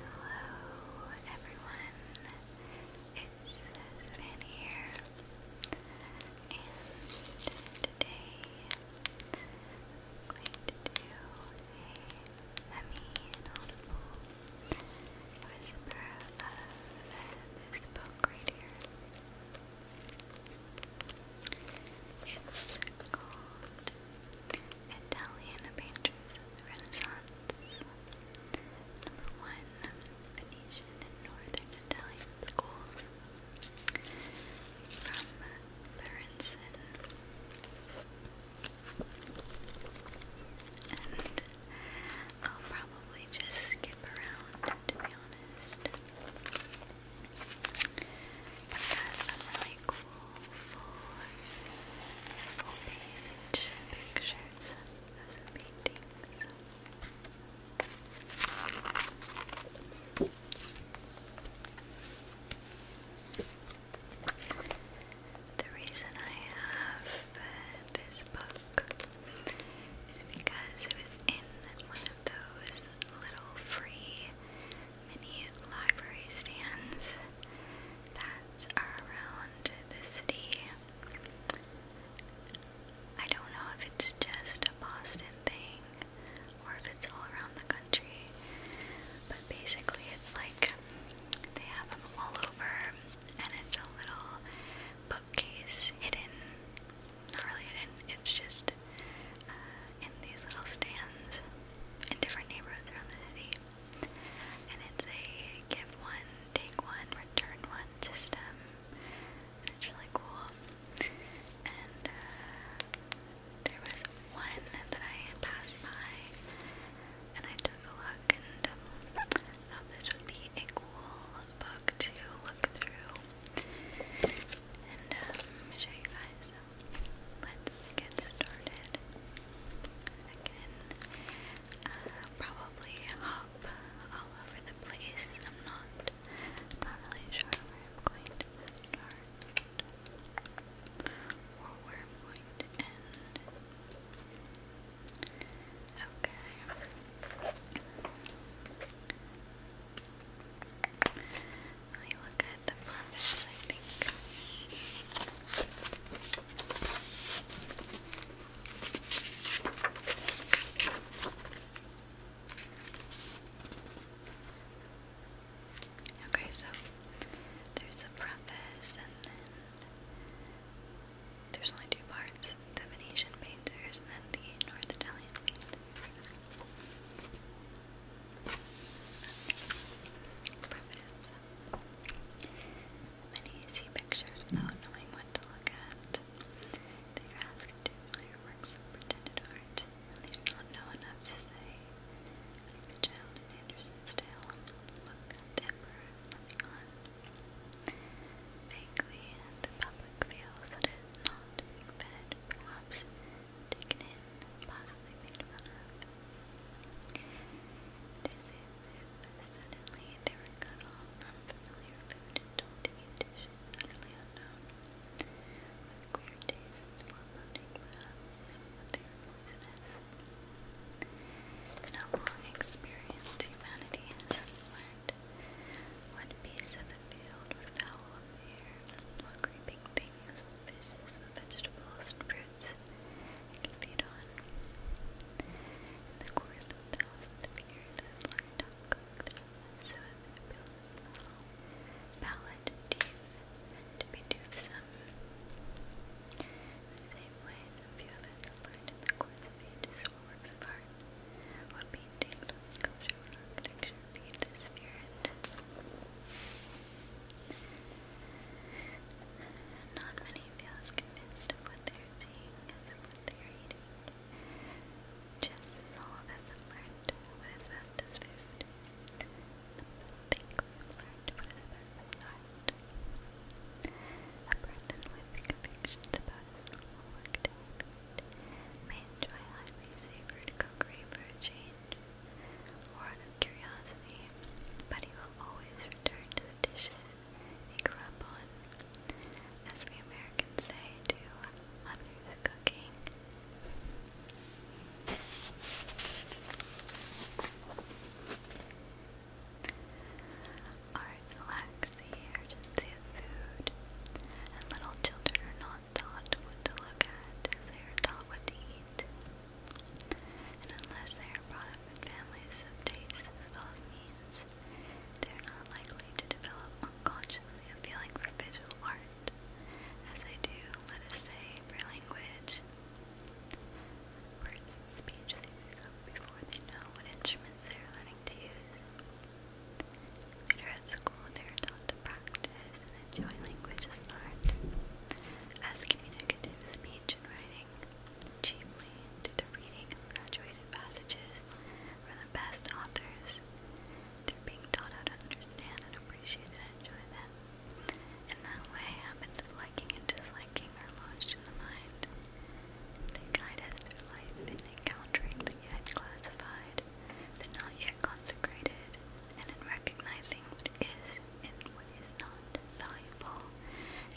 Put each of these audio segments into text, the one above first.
Hello everyone, it's Savannah here, and today I'm going to do a semi-audible whisper of this book right here. It's called Italian Painters Renaissance. Number one, Venetian and Northern Italian Schools. From Berenson. And I'll probably just skip around, to be honest. I've really cool full, page pictures of some paintings. The reason I have uh, this book is because it was in those little free mini library stands that are around the city. I don't know if it's just a Boston thing or if it's all around the country, but basically it's like they have them all over and it's a little bookcase hidden not really hidden, it's just uh, in these little stands in different neighborhoods around the city. And it's a give one, take one, return one system. And it's really cool. And uh, there was one that I passed by and I took a look and um, thought this would be a cool book to look through. And um, you let's get started. Uh, probably hop all over the place. I'm not, not really sure where I'm going to start or where I'm going to end. Okay. I look at the promise, I think. Okay, so there's the preface, and then there's only two parts the Venetian painters and then the North Italian painters. Many easy pictures without knowing what to look at. They are to admire works art, and they do not know enough to say. the child in Anderson's tale, look at the looking on. Vaguely, the public feels not being perhaps taken in, possibly made fun of. It is as suddenly they were cut off from familiar food and told unknown, with queer tastes foreboding perhaps that they are a long experience, humanity has acquired night. What of the field, what fowl of the creeping things, what fishes, what vegetables and can feed on. the course of thousands of years I learned to cook them so as to build well, palate and teeth to be toothsome. the same way, some few of us have learned the course of ages works of art, what being Tingle sculpture Not many feels convinced of what they're eating. Just as all of us have learned what is best as food. Think we've what is best as A person with convictions about his normal work may enjoy highly savored cookery for change or out of curiosity, but he will always return to the dishes he grew up on. As we Americans say, to mother's cooking. Art lacks to the urgency of food, and little children are not taught what to look at as they are taught what to eat. And unless they are brought up in families of taste as well as means, they are not likely to develop unconsciously a feeling for visual art, as they do, let us say, for language. Words and speech they pick up before they know what instruments they are learning to use. Later at school, they are taught to practice and enjoy language as an art, as communicative speech and writing, chiefly through the reading of graduated passages from the best authors. They're being taught how to understand and appreciate and enjoy them. In that way, habits of liking and disliking are lodged in the mind. They guide us through life in encountering the yet classified, sacred, the not yet consecrated, and in recognizing what is and what is not valuable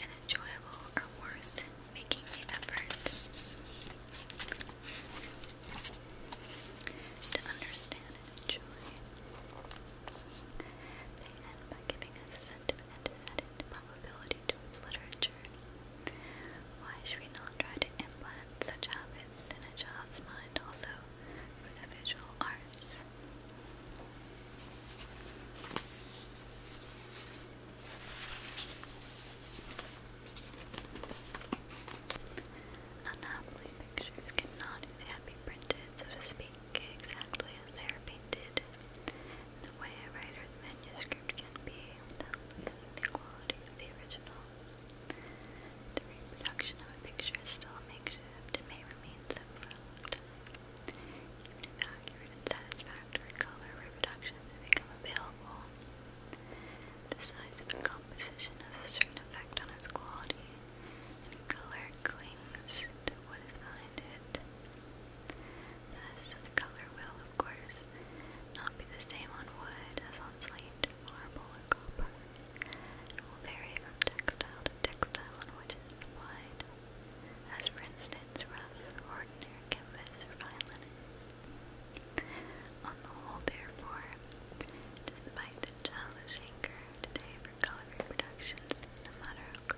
and enjoyable or worth making the effort. To understand and they end by giving us a sentiment and probability towards literature. Why should we not try to implant such habits in a child's mind also for the visual arts? Unhappily, pictures cannot yet be printed, so to speak, exactly as they are painted. The way a writer's manuscript can be, the quality of the original. The reproduction of a picture is still a makeshift and may remain so for a long time. Even if accurate and satisfactory color reproductions have become available, the size of a composition has a certain effect on its quality, color clings to what is behind it. Thus, color will of course not be the same on wood as on slate, marble, or copper, and will vary from textile to textile on which it is applied, as for instance rough, ordinary canvas, or fine On the whole, therefore, despite the challenging curve today for color reproductions, no matter how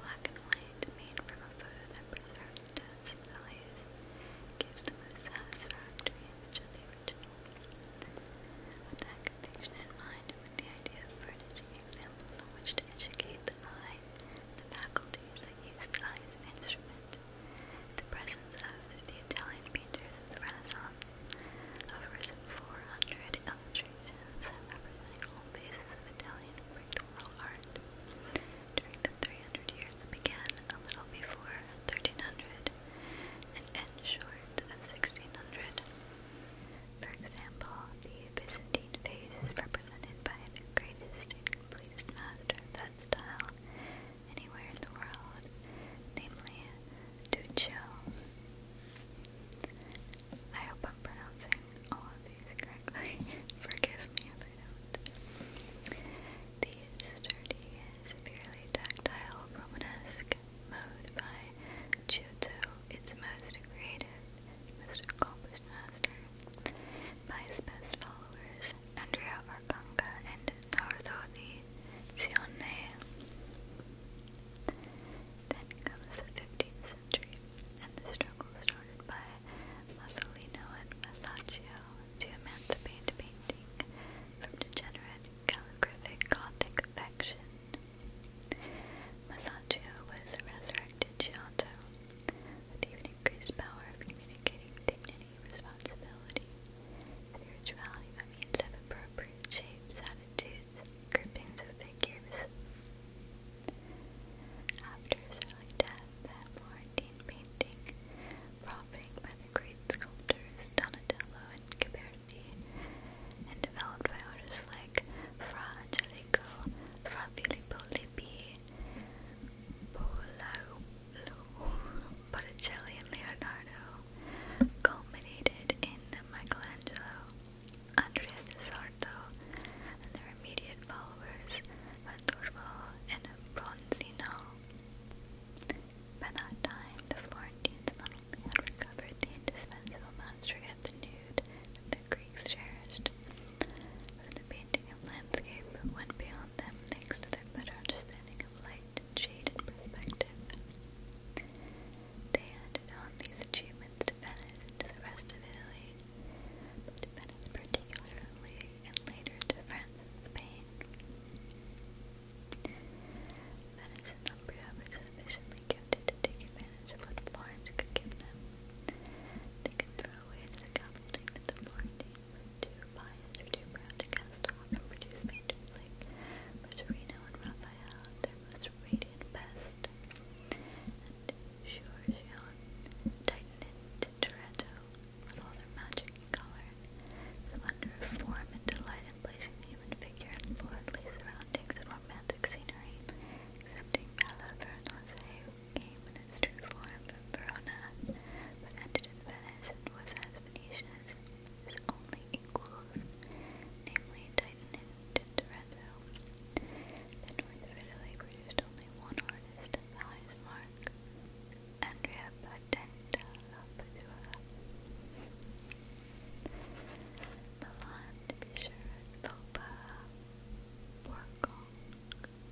black and white made from a photo that preserved test values gives the most satisfactory image With that conviction in mind the idea of furnishing examples on to educate the eye, the faculties that use the eye as the presence of the Italian painters of the Renaissance offers 400 illustrations representing all phases of Italian pictorial art. During the 300 years that began a little before 1300 and end short of 1600. For example, the Byzantine phase is represented by the greatest and master of that style anywhere in the world, namely Duccio. I hope I'm pronouncing all of these these correctly. Forgive me if I don't. The sturdy, severely tactile Romanesque mode Giotto, its most creative, most accomplished master, by his best followers, Andrea Arcanga and Nardo di Cione. Then comes the 15th century, and the struggle starts by Masolino and Masaccio to emancipate painting from degenerate calligraphic Gothic affection. Masaccio was a resurrected Giotto, with even increased power of communicating dignity, responsibility, and spirituality by means of appropriate shapes, attitudes, groupings of figures. After his early death, the Florentine painting, profiting by the great sculptors Donatello and Ghiberti, and developed by artists like Fra Angelico, Fra Filippo Lippi, Botticelli, and Leonardo, culminated in Michelangelo, Andrea del Sarto, and their immediate followers, Salvador and Bronzino. By that time, the Florentines not only had recovered the indispensable mastery of the nude that the Greeks cherished, but the painting of landscape went beyond them thanks to their better understanding of light shade and perspective. They handed on these achievements to Venice the rest of Italy, but to particularly, and later to France and Spain. Venice and Umbria were sufficiently gifted to take advantage of what Florence could give them. They could throw away the scaffolding that the Florentines were too biased or to produce painters like Rosarino and Raphael, their most radiant best. And Giorgione tightened in Toronto with all their magic color, splendor form and delight in placing the human figure in lordly surroundings romantic scenery, accepting Bella who came in its true form from Verona, but ended in Venice and was as Venetian as his only equals, namely Titan and Tintoretto. The north of Italy produced only one art is the noise mark Andrea Patenta Lapadua. Milan to be sure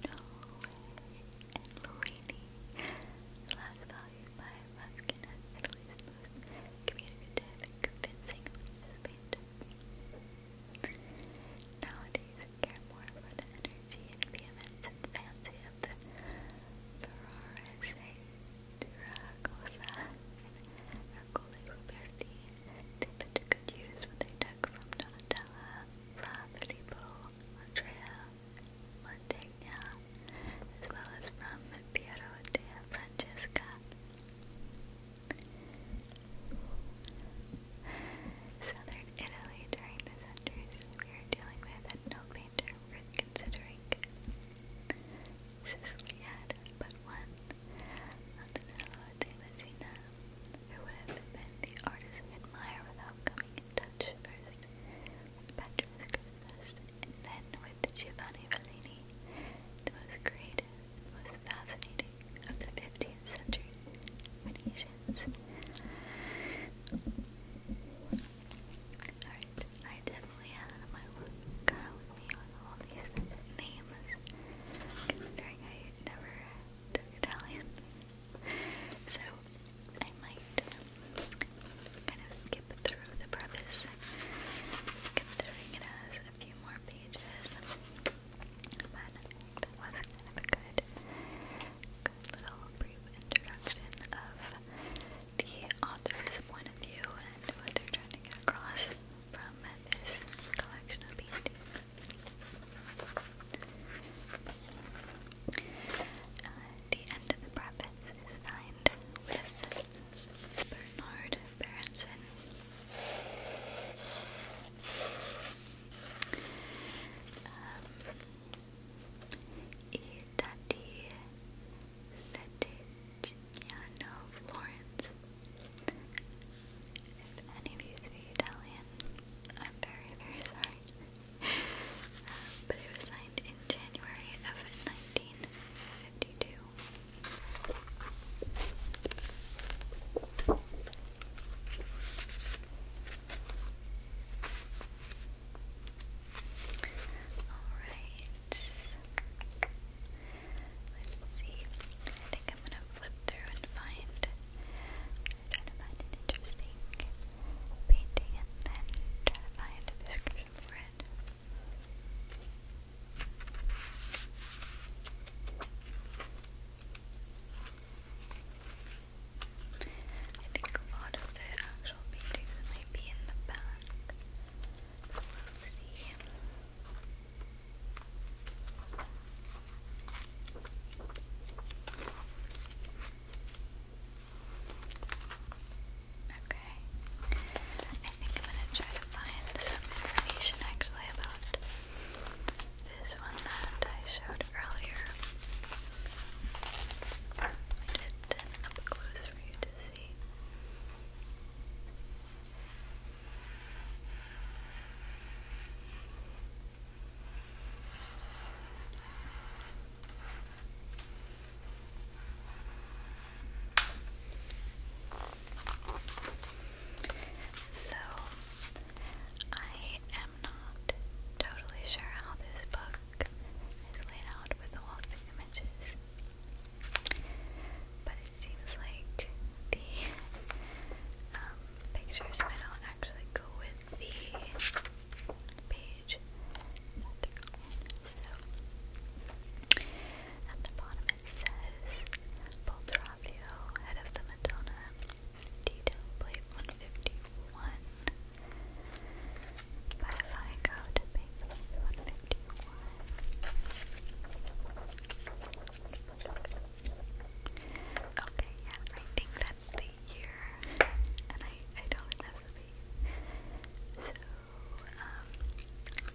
at and Lorini. Last valued by Ruskin as Italy's most communicative and convincing Nowadays, we care more for the energy and vehemence and fancy of the Ferrariseracosa eh? Ercole Ruberti that could use what they took from Donatella, Fra Andrea, Mantegna, as well as from Piero de Francesca. Southern Italy during the centuries we are dealing with no painter worth considering. Sicily had but one, Antonello de Messina, who would have been the artist of without coming in touch first with Petrus Christus then with Giovanni Bellini, the most creative was fascinating of the 15th century Venetians. Alright, I definitely had my work cut out with me on all these names, considering I never took Italian. So, I might um, kind of skip through the preface, considering it has a few more pages. But that was kind of a good, little brief introduction of the author's point of view and what they're trying to get across from this collection of paintings. Uh, the end of the preface is signed with Bernard Berenson. Um, e Tati Settignano Florence. If any of you speak Italian, I'm very, very sorry. Um, but it was signed in January of 1952. Alright. Let's see. I think I'm gonna flip through and find try to find an interesting painting and then try to find a description for it. I think a lot of the actual paintings might be in the back. Okay. I think I'm gonna try to find some information actually about this one that I showed earlier. I did it up close for you to see. So, I am not totally sure how this book is laid out with the walls images, but it seems like the um, pictures might not actually go with the page. So, at the bottom says Boltravio, head of the Madonna, detail plate 151. But if I go to page 151, okay, yeah, I think that's the year, and I, I don't think that's the page. So, um,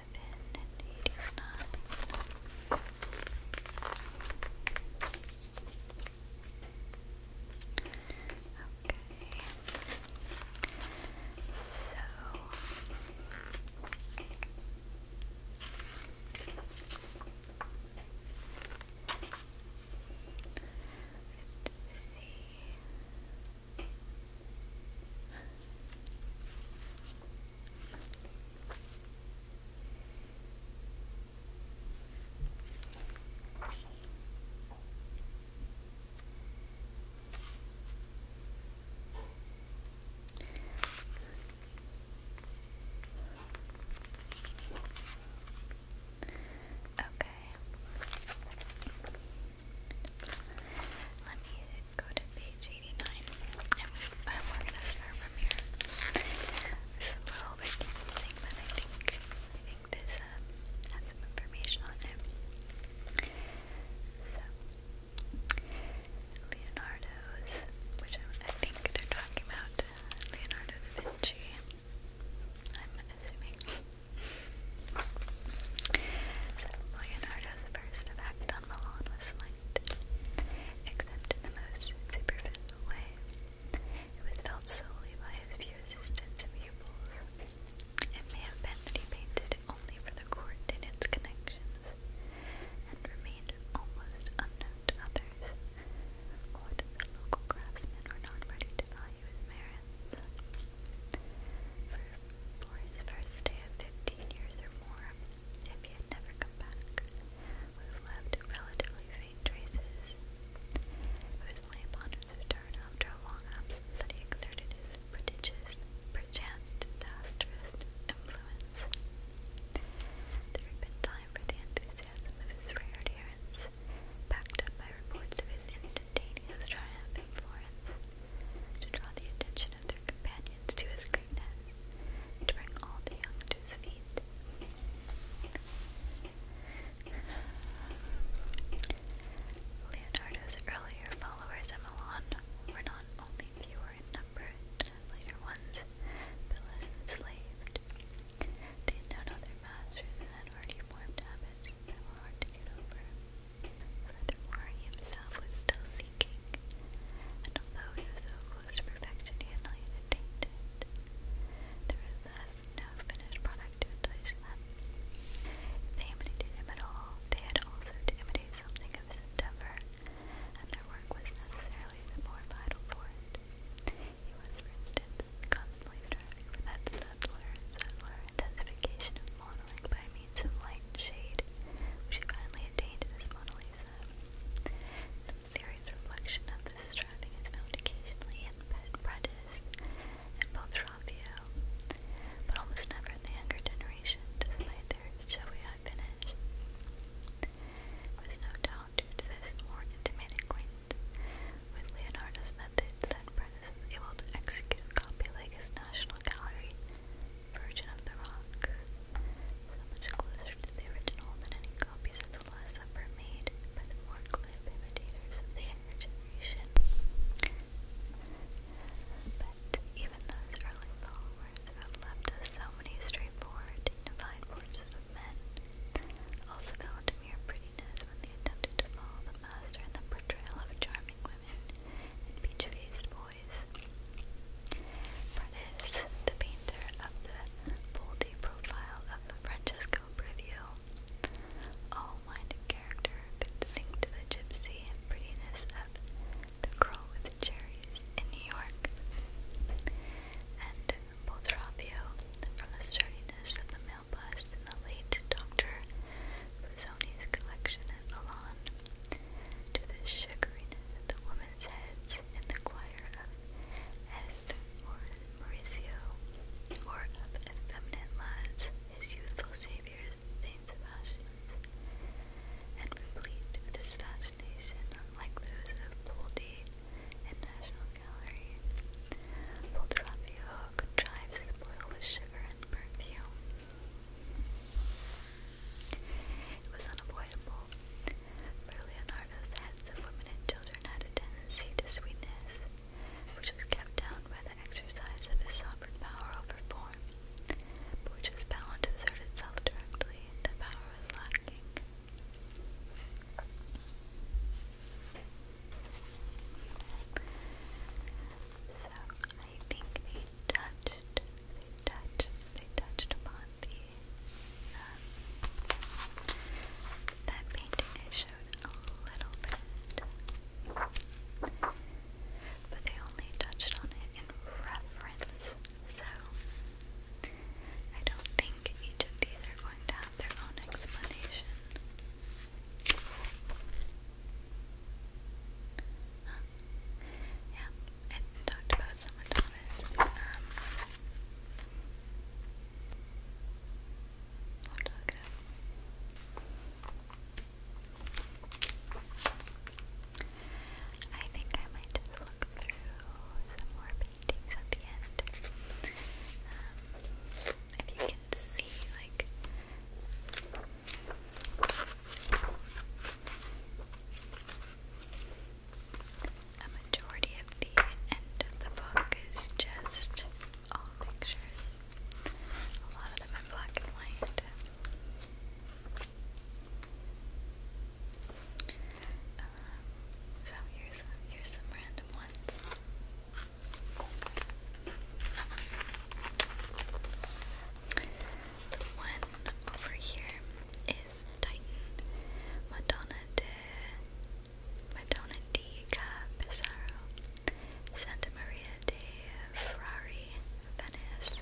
and eighty-nine. Okay. So Let's see. Okay. Let me go to page 89 and, and we're gonna start from here it's a little bit confusing but I think I think this um, some information on it so Leonardo's which I, think they're talking about uh, Leonardo da Vinci I'm assuming so Leonardo's first effect on Milan was intellect, except in the most superficial way. It was felt solely by his few assistants and pupils. It may have been that only for the court and its connections, and remained almost unknown to others, or the local craftsmen were not ready to value his merits. for his first day of fifteen years or more, if he had never come back, would have left relatively faint traces. It was only upon after a long absence that he exerted his prodigious, perchance disastrous, influence. There had been time for the enthusiasm of his rare adherents, backed up by reports of his instantaneous triumph and to draw the attention their companions to his greatness, and bring all the young to his feet. Leonardo's earlier followers in Milan were not only fewer in number than later ones, but less enslaved. They had known other masters and had already formed habits that were hard to get over. Furthermore, he himself was still seeking, and although he was so close to perfection, he had not yet attained it. There was thus no finished product to entice them. If they him at all, they had also to imitate something of his endeavor, and their work was necessarily the more vital for it. He was, for instance, constantly striving for that subtler subtler intensification of modeling by means of light shade, she finally attained this Mona Lisa. Some serious reflection of this striving is found occasionally in Prentice and Beltraffio, but almost never in the younger generation, despite their showy eye finish. no doubt due this more intimate acquaintance with Leonardo's methods that Prentice was able to execute a copy like his National Gallery version of The Rock. So much closer to the original than any copies of The Last Supper made by the more glib imitators of the younger generation. But even those early followers have left us so many straightforward, dignified voices of men also fell into mere prettiness when they attempted to follow the master in the portrayal of charming women and peach-faced boys boys. Fredis, the painter of the boldy profile of Francesco Previo, all-minded character could sing to the gypsy and prettiness of the girl with cherries in New York, and Boltrafio, from the sturdiness of the male bust in the late Dr. Busoni's collection at Milan to the sugariness of the woman's heads in the choir of Esther or or of effeminate lads, his youthful saviors, Saint Sebastian's, and replete with this unlike those of Poldi and National Gallery. Poltrafio contrives the boil with sugar and perfume, it was unavoidable, for Leonardo's heads of women and children had a tendency to sweetness, which was kept down by the exercise of his sovereign power over form, but which was bound to assert itself directly if the power was lacking. So, I think a touch they touched, they touched upon the, um, that painting I showed a little bit, but they only touched on it in reference, so I don't think each of these are going to have their own explanation. Huh? Yeah, I talked about some of um, Thomas. I think I might just look through some more paintings at the end. Um, if you can see, like, a majority of the end of the book is just all pictures. A lot of them in black and white. Um, so here's here's some random ones one over here is Titan Madonna de Madonna di Capisaro Santa Maria de Ferrari Venice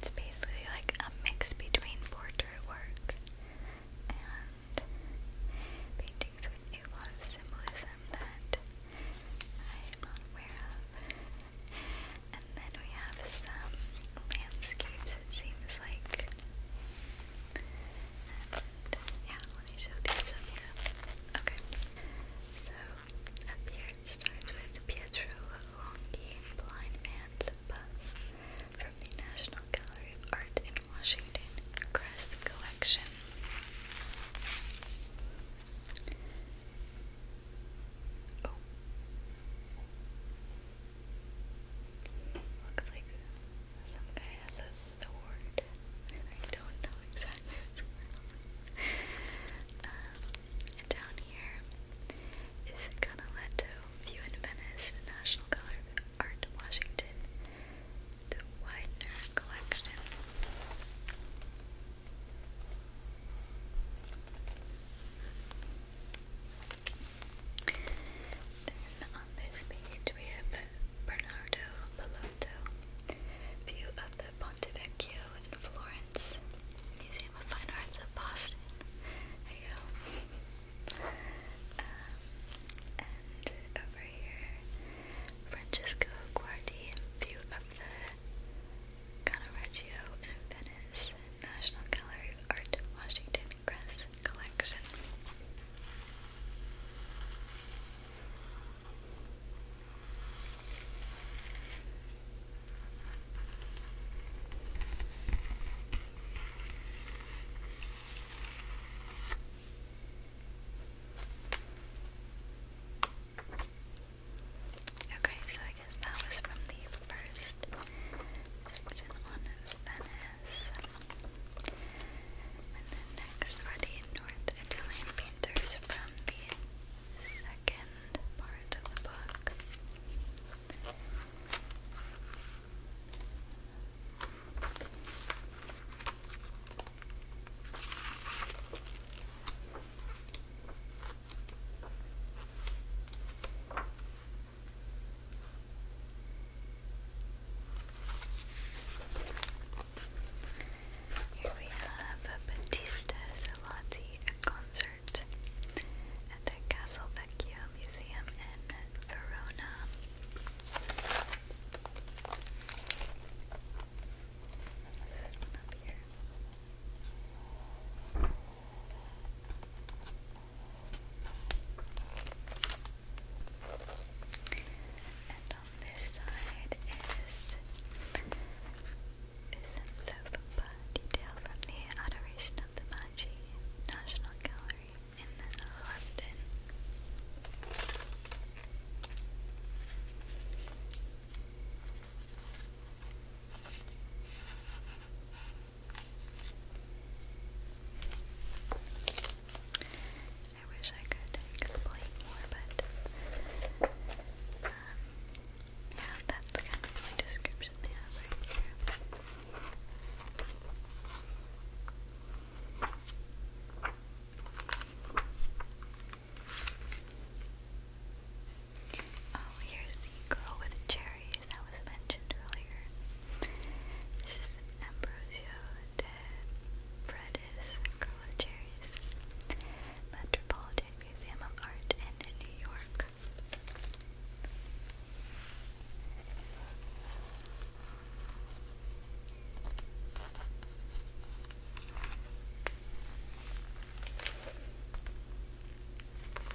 It's basically like a mix between portrait and paintings with a lot of symbolism that I am not aware of. And then we have some landscapes it seems like. yeah, let me show these up here. Okay. So up here starts with Pietro Longhi, Blind Man's Buff from the National Gallery of Art in Washington Crest Collection. Oh, Looks like some guy has sword, I don't know exactly um, down here is Canaletto View in Venice National Color Art Washington, the Widener Collection. Then on this page we have Bernardo Bellotto, view of the Ponte Vecchio in Florence, Museum of Fine Arts of Boston. There you go. Um, and over here, Francesco Guardi, view of the Caravaggio in Venice, National Gallery of Art, Washington Crest collection. Okay, so I guess that was from the first section on Venice. And then next are the North Italian painters from the second part of the book. Here we have Batista's Lotti concert at the Castle Museum in Verona. And on this side is Bism Soap Detail from the Adoration of the Magi National Gallery in London. I wish I could explain more, but um, yeah, that's kind of the description they have right here. Oh, here's the girl with cherries that was mentioned earlier. This is Ambrosio de Paredes, girl with cherries, Metropolitan Museum of Art in New York.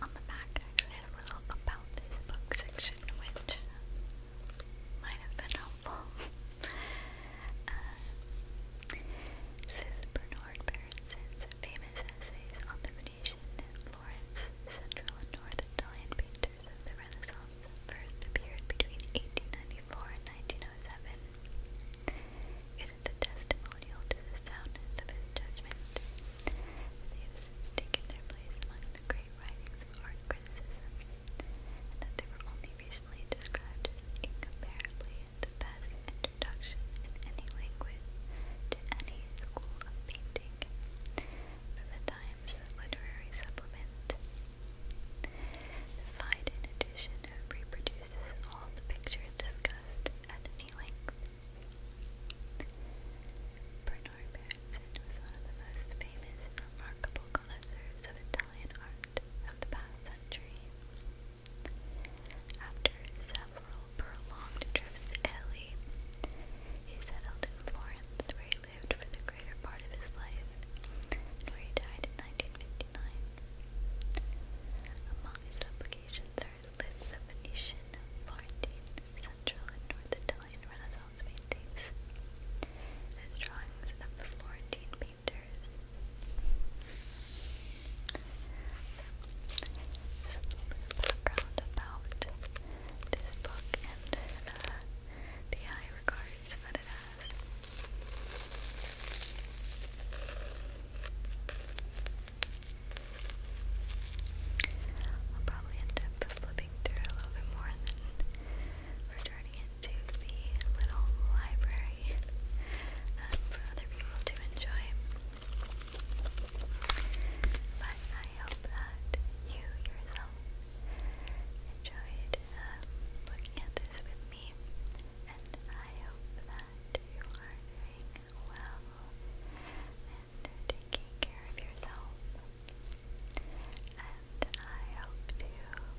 On the back, actually, a little about this book section, which might have been helpful. uh, Bernard Berensen's famous essays on the Venetian, Florence, Central, and North Italian painters of the Renaissance first appeared between 1894 and 1907. It is a testimonial to the soundness of his judgment. They have their place among the great writings of art and they were only recently described as incomparably the best introduction in any language to any school of painting the Times Literary Supplement. Fide, in reproduces all the pictures discussed at any length Bernard Berenson was one of the most famous and remarkable connoisseurs of Italian art of the past century. After several prolonged trips he settled in Florence, where he lived for the greater part of his life, and where he died in 1959. Among his publications are lists of Venetian, Florentine, Central, and North Italian Renaissance paintings and drawings of the Florentine painters. So, background about this book and uh, the high regards that it has. I'll probably end up flipping through a little bit more and then returning it to the little library um, for other people to enjoy. But I hope that you yourself enjoyed um, looking at this with me, and I hope that you are doing well and taking care of yourself. And I hope to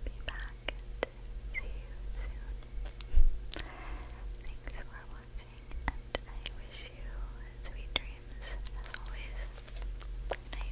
be back and see you soon. Thanks for watching, and I wish you sweet dreams as always. Good night.